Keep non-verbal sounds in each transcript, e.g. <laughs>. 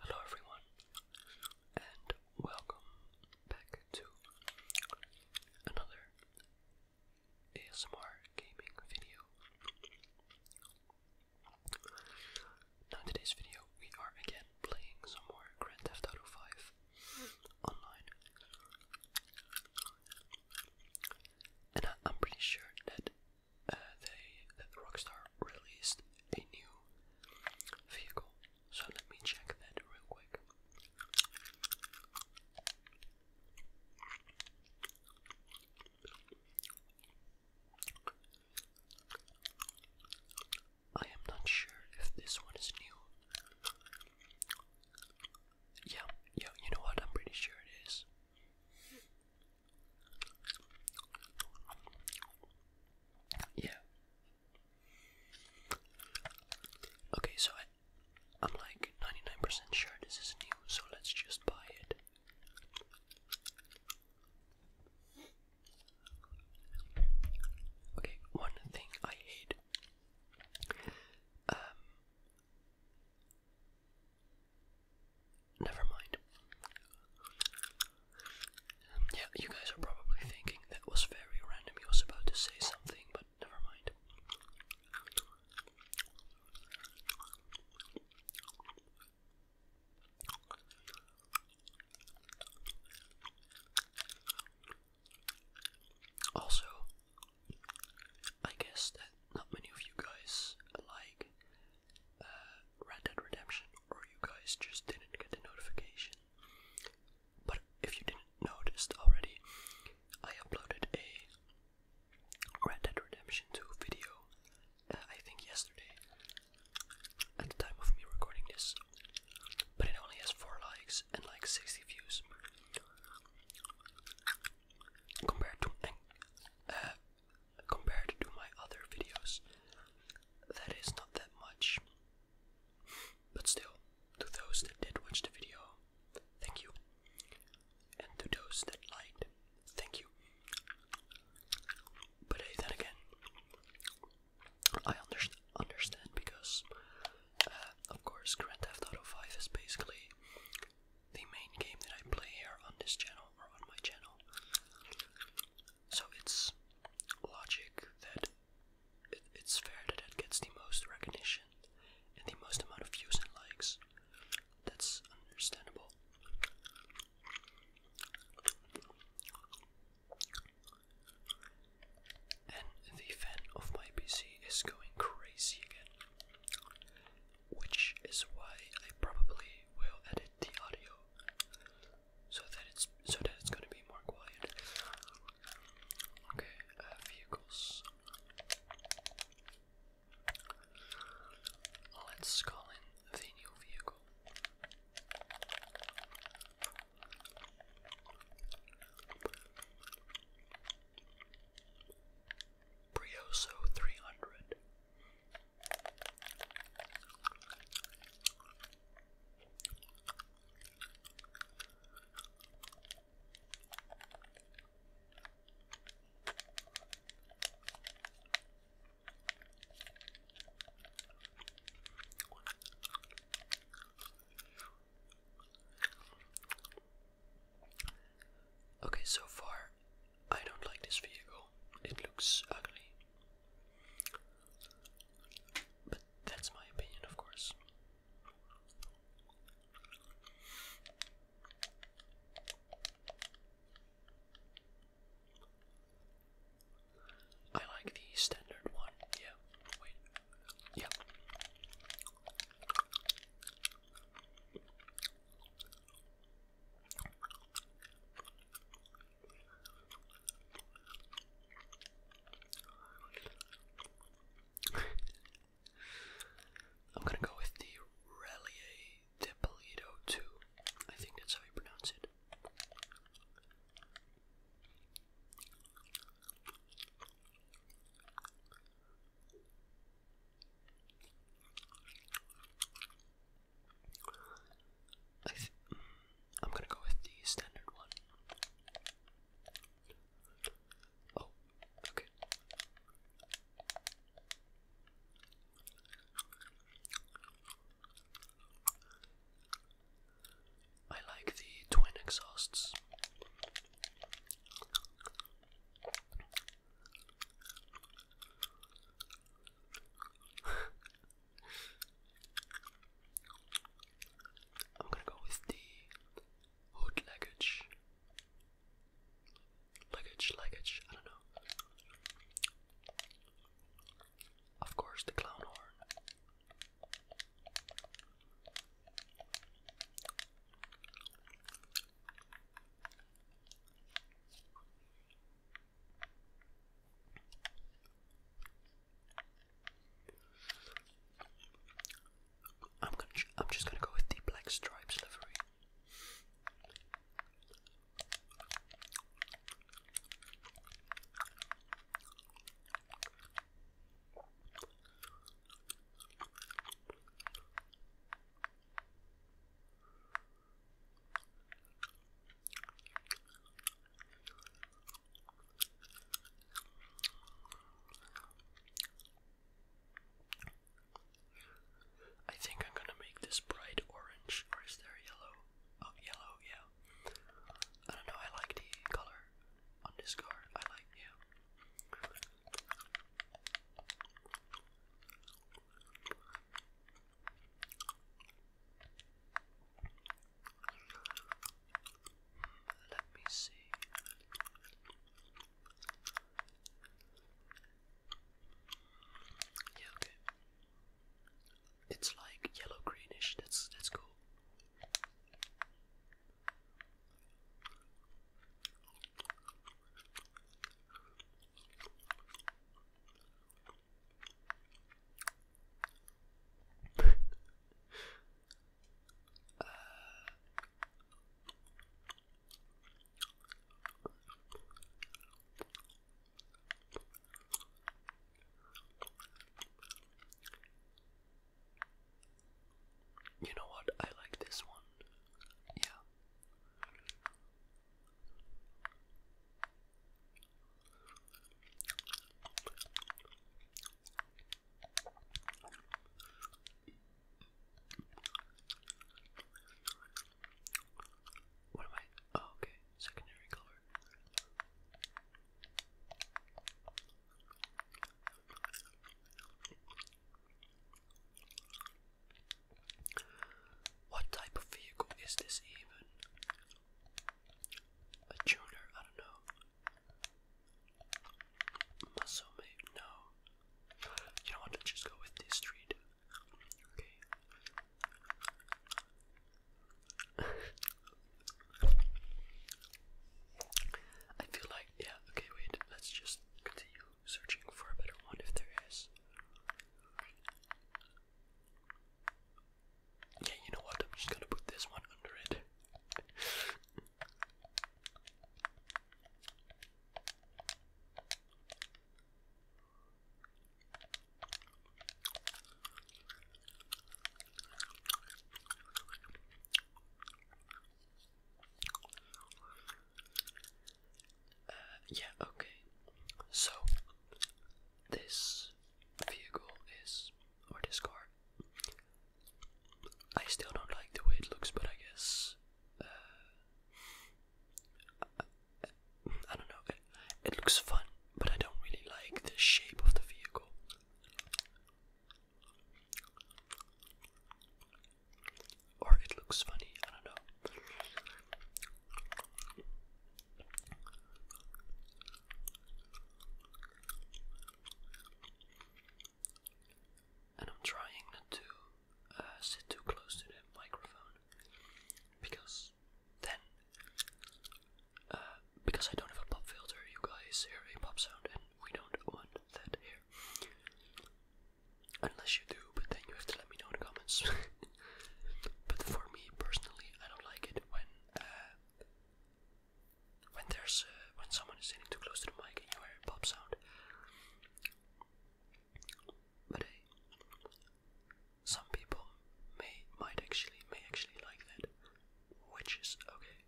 Hello everyone, and welcome back to another ASMR gaming video. Now in today's video, we are again playing some more Grand Theft Auto 5 online. And I'm pretty sure that uh, they that Rockstar released a new vehicle. So let me check that real quick. I am not sure if this one is new. Yeah, yeah, you know what? I'm pretty sure it is. Yeah. Okay, so I, am like 99% sure this is new, so let's just buy it. Okay, one thing I hate. Um, Never mind. Um, yeah, you guys are probably thinking that was very random. He was about to say something, but never mind. Also, I guess that not many of you guys like uh, Red Dead Redemption, or you guys just didn't get the notification. But if you didn't notice already, I uploaded a Red Dead Redemption 2 video, uh, I think yesterday, at the time of me recording this. But it only has 4 likes and like 60 views. Compared to uh, compared to my other videos. That is not that much. But still, to those that did watch the video, thank you. And to those that liked, thank you. But then again, I understand because, uh, of course, Grand Theft Auto 5 is basically the main game that I play here on this channel or on my channel. So it's logic that it's fair that it gets the most recognition and the most amount of views and likes. That's understandable. And the fan of my PC is going crazy again. Which is why I probably will edit the audio so that it's so that it's gonna be more quiet. Okay, uh, vehicles. Let's call in the new vehicle. Brioso 300. Okay, so far I don't like this vehicle. It looks ugly. But that's my opinion, of course. I like the standard one. Yeah. Wait. Yeah. I'm gonna go with the Relier de Polito I think that's how you pronounce it. I am gonna go with the standard one. Oh, okay. I like the twin exhausts. <laughs> I'm gonna go with the hood luggage. Luggage, luggage, I don't know. Of course, the clown horn. I'm just gonna go with the black stripes livery. I think I'm gonna make this bright orange, or is there yellow? Oh, yellow, yeah. I don't know, I like the color on this card. I like, yeah. Let me see. Yeah, It's like yellow greenish. That's that's cool you know what? I like this one. Yeah. What am I? Oh, okay, secondary color. What type of vehicle is this even? A tuner, I don't know. Muscle mate, no. You know what? just go with this street. Okay. <laughs> I feel like, yeah, okay, wait, let's just continue searching for a better one if there is. Yeah, you know what? I'm just gonna put this one under it. Uh, yeah, okay. So, this vehicle is, or this car. I still don't like the way it looks, but I guess uh, I, don't know. it looks fun, but I don't really like the shape of the vehicle. Or it looks funny, I don't know. And I'm trying not to uh, sit too close to the microphone because then, uh, because I don't have a pop filter, you guys hear a pop sound, and we don't want that here. Unless you do, but then you have to let me know in the comments. <laughs> But for me personally, I don't like it when uh, when there's uh, when someone is sitting too close to the mic and you hear a pop sound. But uh, some people may might actually may actually like that, which is okay.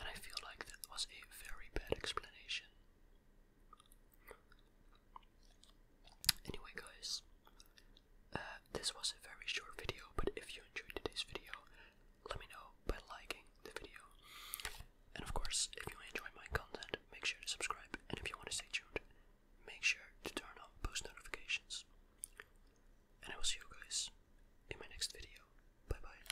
And I feel like that was a very bad explanation Anyway, guys, uh, this was a very short video, but if you enjoyed today's video, let me know by liking the video. And of course, if you enjoy my content, make sure to subscribe. And if you want to stay tuned, make sure to turn on post notifications. And I will see you guys in my next video. Bye bye.